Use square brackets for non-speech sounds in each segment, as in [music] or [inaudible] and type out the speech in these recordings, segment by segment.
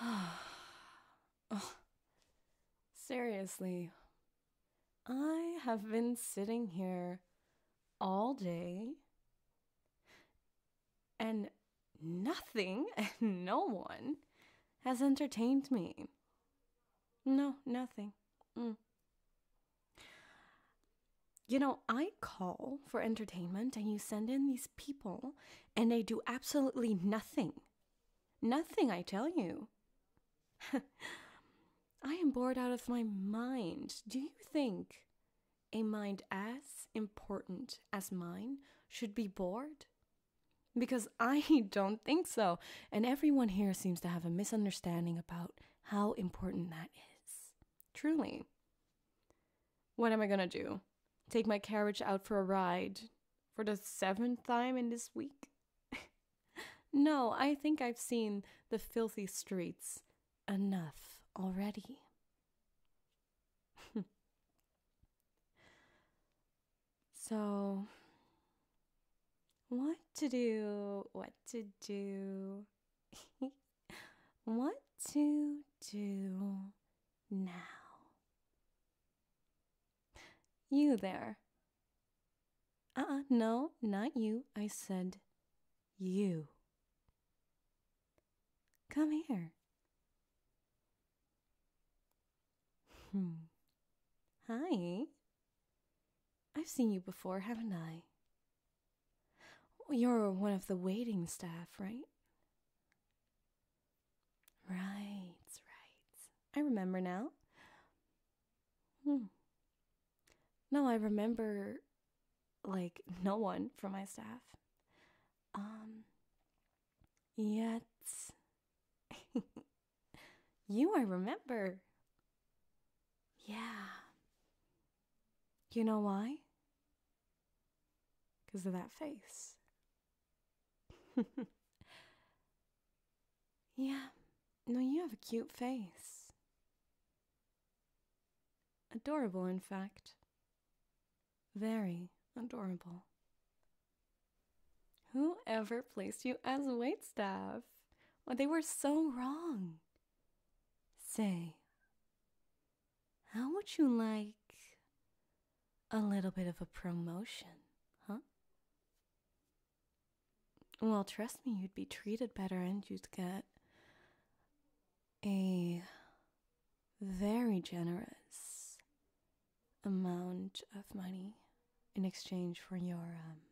[sighs] Oh, seriously, I have been sitting here all day and nothing [laughs] no one has entertained me. No, nothing. Mm you know, I call for entertainment and you send in these people and they do absolutely nothing. Nothing, I tell you. [laughs] I am bored out of my mind. Do you think a mind as important as mine should be bored? Because [laughs] I don't think so. And everyone here seems to have a misunderstanding about how important that is. Truly. What am I gonna do? Take my carriage out for a ride for the seventh time in this week? [laughs] no, I think I've seen the filthy streets enough already. [laughs] so, what to do? What to do? [laughs] what to do now. You there. Ah, no, not you. I said you. Come here. Hmm. Hi. I've seen you before, haven't I? You're one of the waiting staff, right? Right, right. I remember now. Hmm. No, I remember like no one from my staff. Um yet [laughs] you I remember. Yeah. You know why? Because of that face. [laughs] yeah, no, you have a cute face. Adorable, in fact. Very adorable. Whoever placed you as waitstaff? Well, they were so wrong. Say, how would you like a little bit of a promotion, huh? Well, trust me, you'd be treated better and you'd get a very generous amount of money in exchange for your um,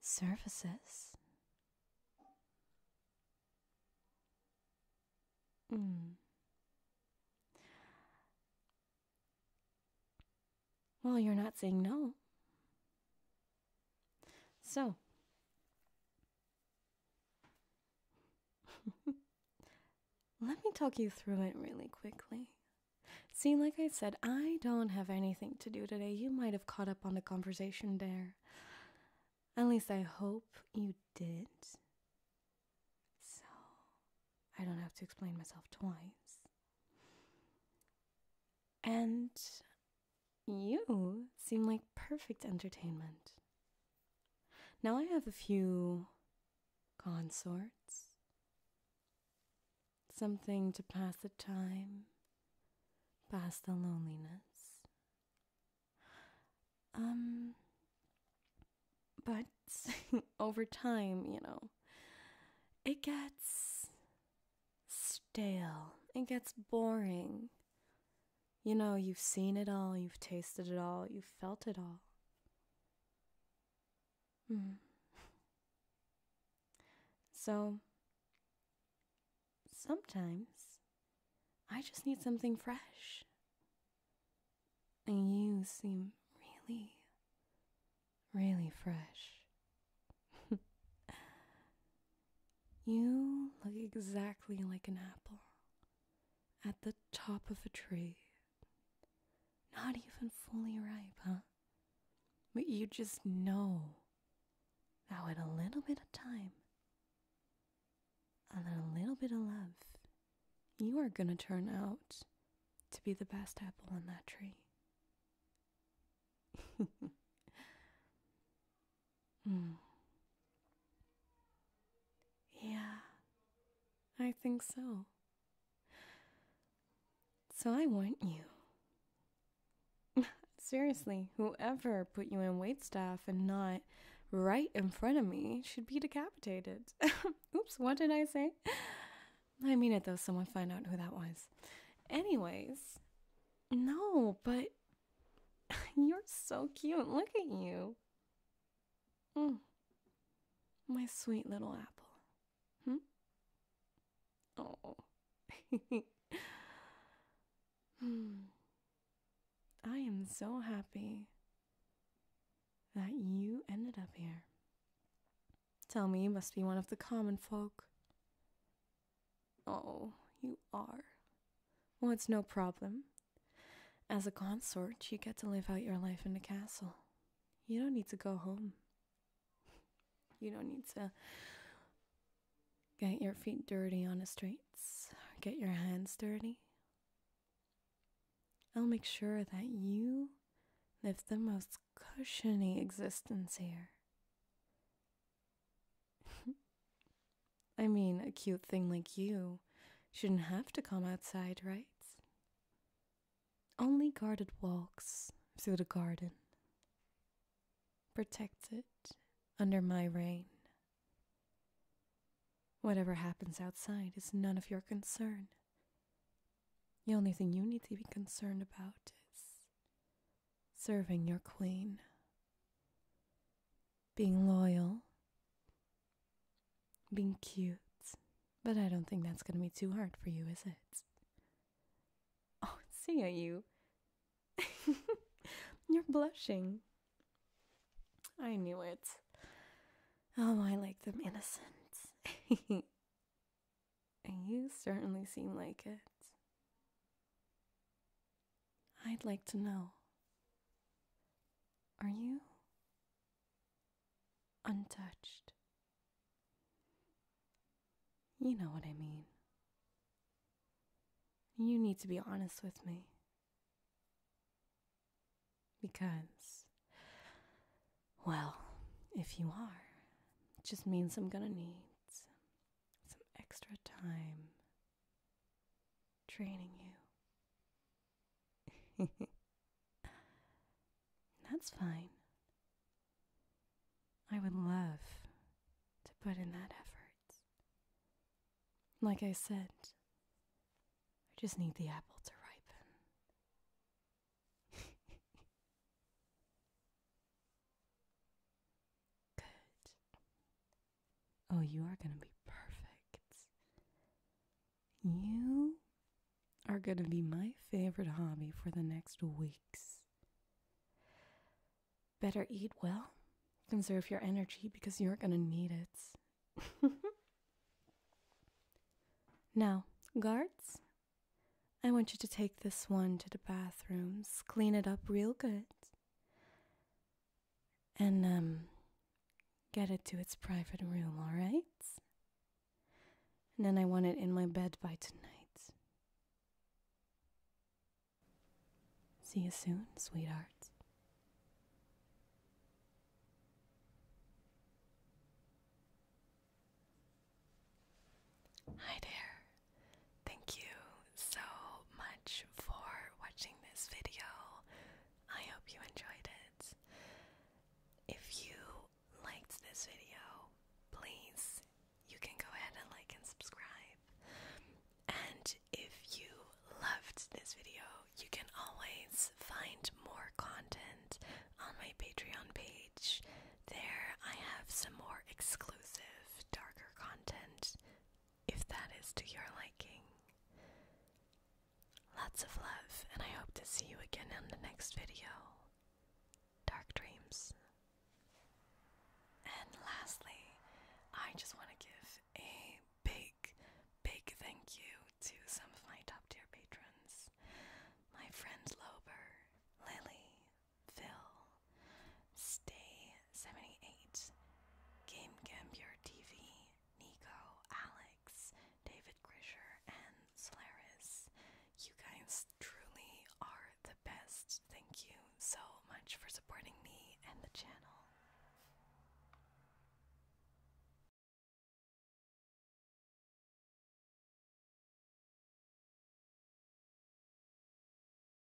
Services? Hmm. Well, you're not saying no. So, [laughs] let me talk you through it really quickly. See, like I said, I don't have anything to do today. You might have caught up on the conversation there. At least I hope you did. So, I don't have to explain myself twice. And you seem like perfect entertainment. Now I have a few consorts something to pass the time, pass the loneliness. Um, but [laughs] over time, you know, it gets stale, it gets boring. You know, you've seen it all, you've tasted it all, you've felt it all. Mm. So, sometimes I just need something fresh. And you seem really, really fresh. [laughs] you look exactly like an apple at the top of a tree. Not even fully ripe, huh? But you just know that with a little bit of time a little bit of love, you are going to turn out to be the best apple on that tree. [laughs] Hmm. Yeah, I think so. So I want you. [laughs] Seriously, whoever put you in waitstaff and not right in front of me should be decapitated. [laughs] Oops, what did I say? I mean it though, someone find out who that was. Anyways, no, but [laughs] you're so cute. Look at you. Mm. My sweet little apple. Hmm? Oh. [laughs] hmm. I am so happy that you ended up here. Tell me you must be one of the common folk. Oh, you are. Well, it's no problem. As a consort, you get to live out your life in the castle you don't need to go home. You don't need to get your feet dirty on the streets, get your hands dirty. I'll make sure that you live the most cushiony existence here. [laughs] I mean, a cute thing like you shouldn't have to come outside, right? Only guarded walks through the garden, protected under my reign. Whatever happens outside is none of your concern. The only thing you need to be concerned about is serving your queen, being loyal being cute. But I don't think that's gonna be too hard for you, is it? Oh, [laughs] see you. [laughs] You're blushing. I knew it. Oh, I like them innocents. [laughs] And you certainly seem like it. I'd like to know. Are you untouched. You know what I mean. You need to be honest with me. Because, well, if you are, it just means I'm gonna need some extra time training you [laughs] That's fine. I would love to put in that effort. Like I said, I just need the apple to ripen. [laughs] Good. Oh, you are going to be perfect. You are going to be my favorite hobby for the next weeks. Better eat well, conserve your energy because you're going to need it. [laughs] now, guards, I want you to take this one to the bathrooms, clean it up real good and um, get it to its private room, all right? And then I want it in my bed by tonight. See you soon, sweetheart. Hi there. Thank you so much for watching this video. I hope you enjoyed it. If you liked this video, please, you can go ahead and like and subscribe. And if you loved this video, you can always find more content on my Patreon page. There, I have some more exclusive, darker content if that is to your liking. Lots of love, and I hope to see you again in the next video. Dark dreams. And lastly, I just want to give a big, big thank you to some of my top tier patrons. My friend Lober, Lily, Phil, Stay, 78, Game Gambier TV, Nico, Alex, David Grisher, and Solaris. You guys truly are the best. Thank you so much for supporting me and the channel.